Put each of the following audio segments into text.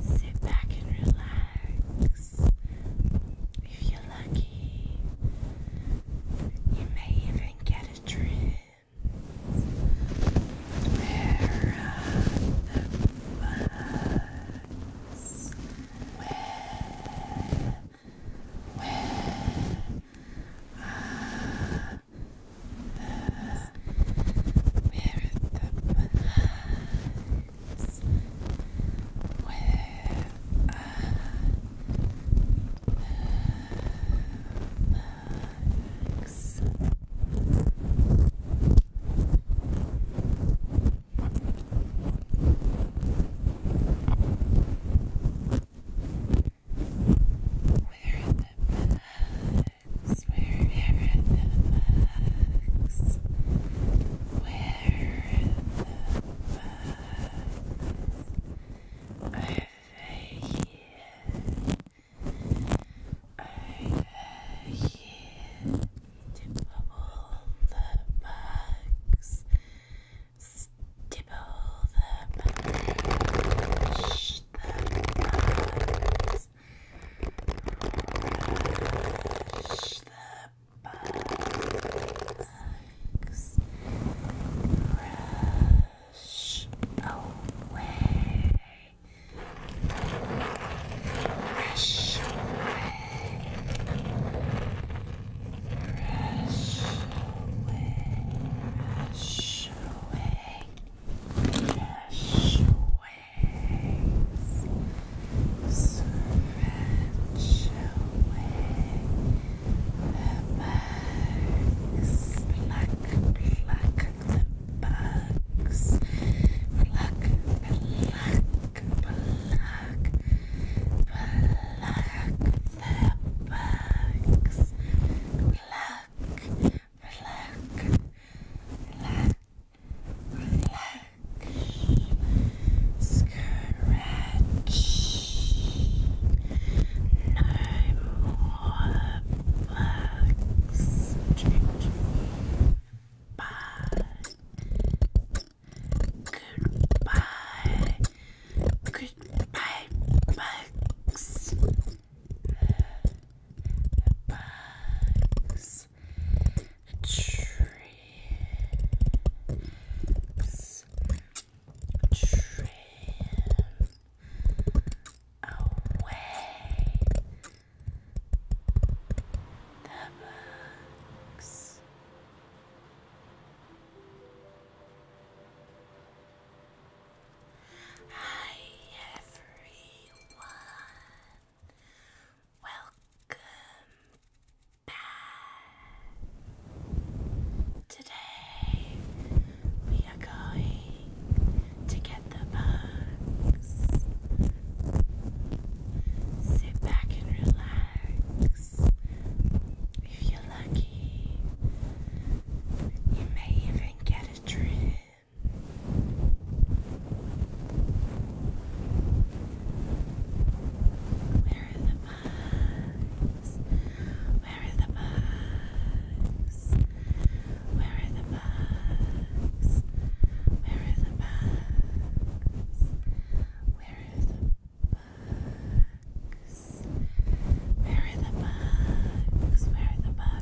Sit back and relax. If you're lucky, you may even get a dream where are the bugs? Where, where are where is the balance? Where the where is where everything bugs. Where the bugs? Are they here? Are they here? All the bugs. Stipple the bugs. The bugs. Brush the bugs. Brush away. Brush away. Brush away. Brush away. Cash waves stretch away the bugs, pluck, pluck the bugs, pluck, pluck, pluck, pluck the bugs, pluck relax, relax, scratch, no more bugs, bye, goodbye, goodbye bugs bugs, trips, trim away the bugs. Hi everyone. Welcome back. Today we are going to get the bugs. Sit back and relax. If you're lucky, you may even get a trip. Where are the bugs? Where are the bugs? Where are the bugs? Where are the bugs? Where are the bugs? Where are the bugs? Where are the bugs?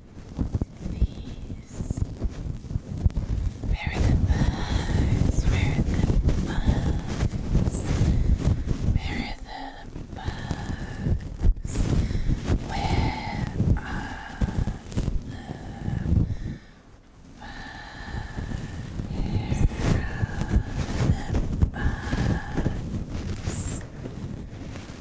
Where are the Where are the bugs? Where are the bugs? Where are the bugs? Where are the bugs?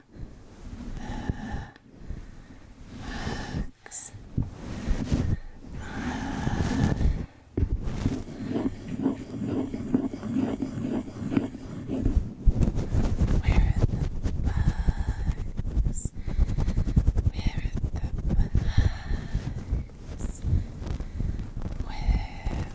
Relax. Where are the bugs? Where are the bugs? Where are the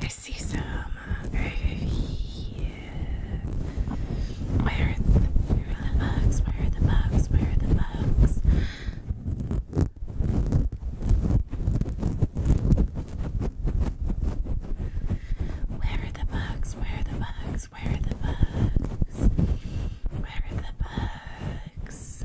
I see some uh, where are the bugs? Where are the bugs? Where are the bugs? Where are the bugs? Where are the bugs? Where are the bugs? Where are the bugs?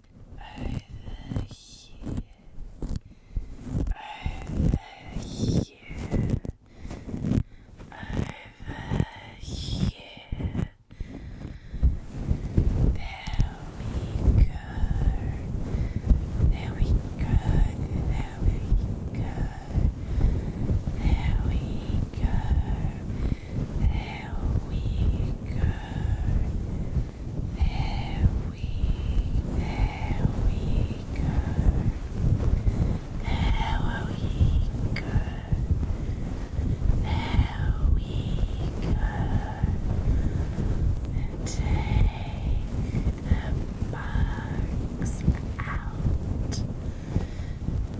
over here, over here, over here. There we go. There we go. There we go. There we go. There we go. There we, go. There we go. There we go. take the bugs out.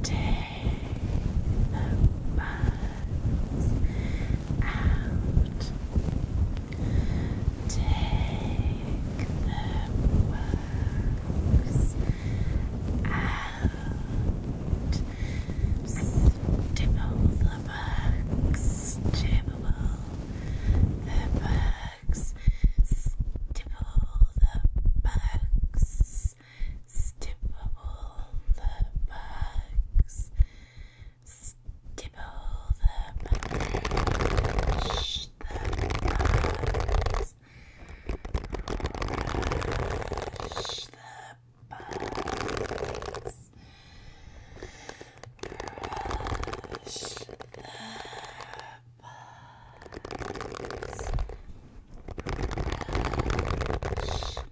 Take the bugs out. Take the bugs out. Stipple the bugs. Stipple the bugs. Stipple the bugs stipple the bugs, stipple the bugs, the bugs, brush the bugs, brush the bugs, brush the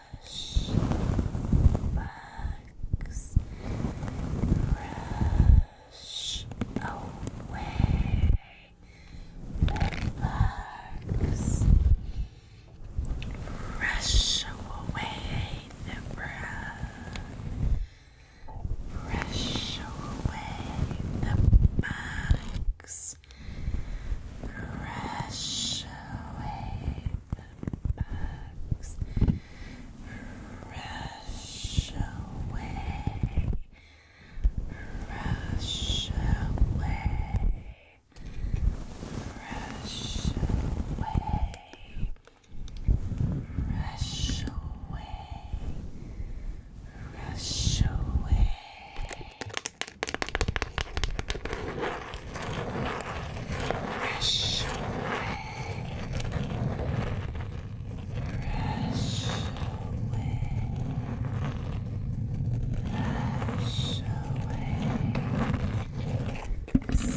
Brush, the bugs, brush away the brush, brush away the bugs. Brush away the bugs rush away, rush away, rush away, rush away, rush away. Brush away. Brush away. Brush away. Brush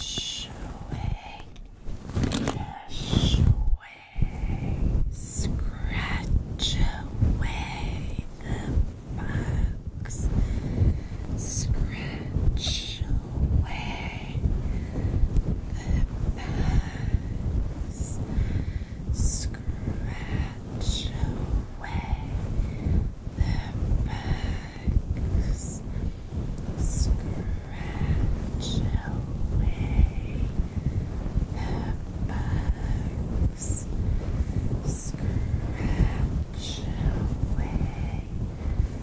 away. Brush away. Brush away. Scratch away the bugs. Scratch away the bugs. Scratch away the bugs. Scratch away bugs scratch away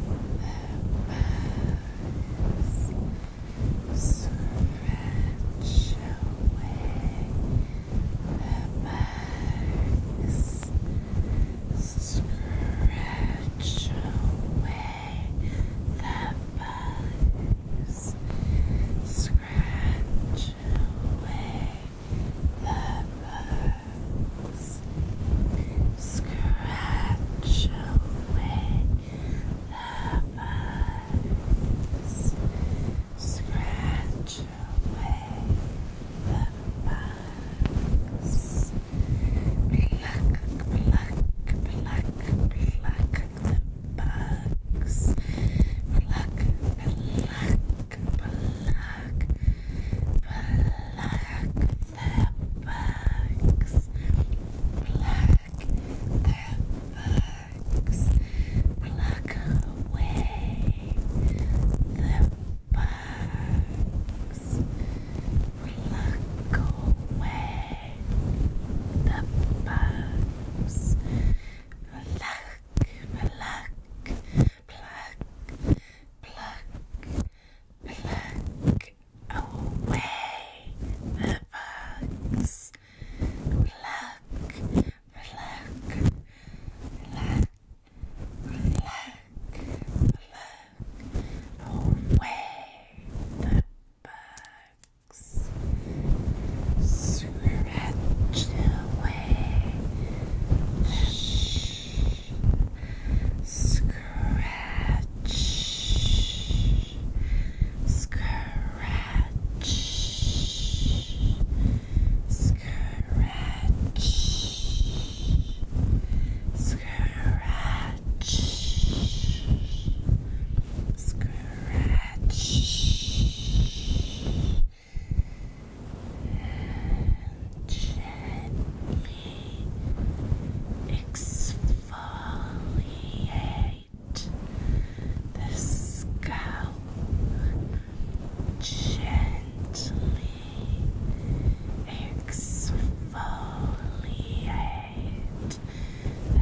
the bugs scratch away the bugs scratch away that bugs scratch away the bugs scratch away the bugs scratch away the bugs pluck pluck pluck pluck bugs. Pluck, pluck, pluck, pluck the bugs. Pluck the bugs. Pluck away the bugs. Pluck away the bugs. Pluck, pluck, pluck, pluck, pluck away the bugs. Pluck, pluck, pluck. Black, black, away the bugs. Stretch away. Shh. Scratch. Scratch. Scratch. Scratch. Scratch. Stretch gently exfoliate the scalp gently exfoliate the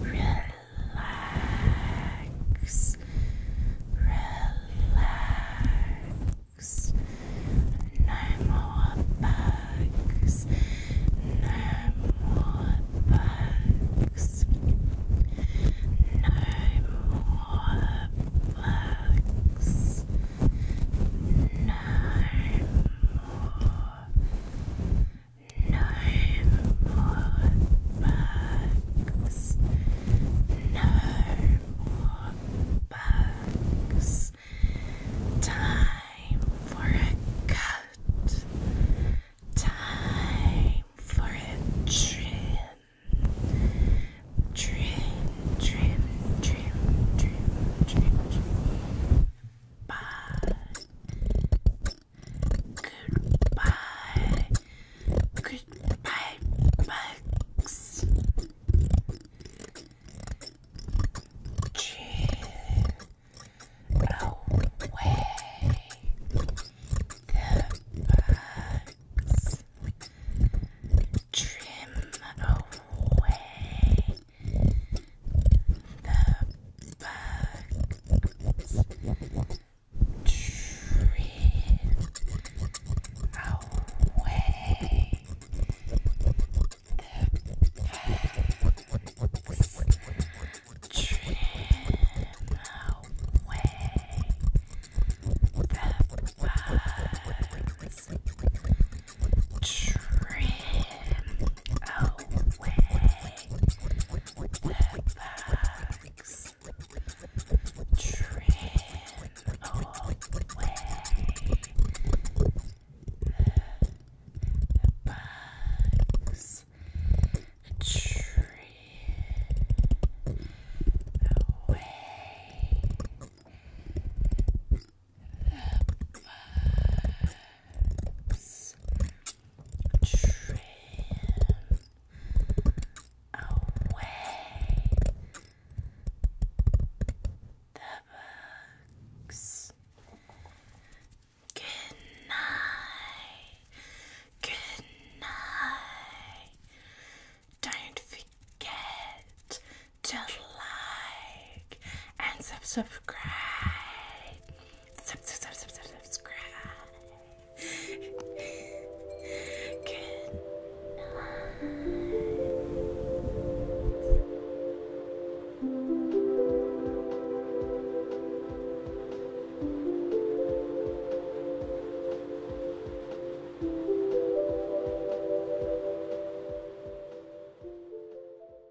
Relax, relax. No more bugs, no more bugs, no more bugs, no more no more bugs. No more bugs. Time for a cut. Time for a trim. Trim, trim, trim, trim, trim, trim. Bug, Goodbye. Goodbye, bugs. away the Trim away the bugs drift away. The bugs drift away. The bugs trim away Relax. Trim away. Bugs, a away. The bugs, Yes. away the bugs. Good night. Good night. Don't forget to like and subscribe subscribe. Good night.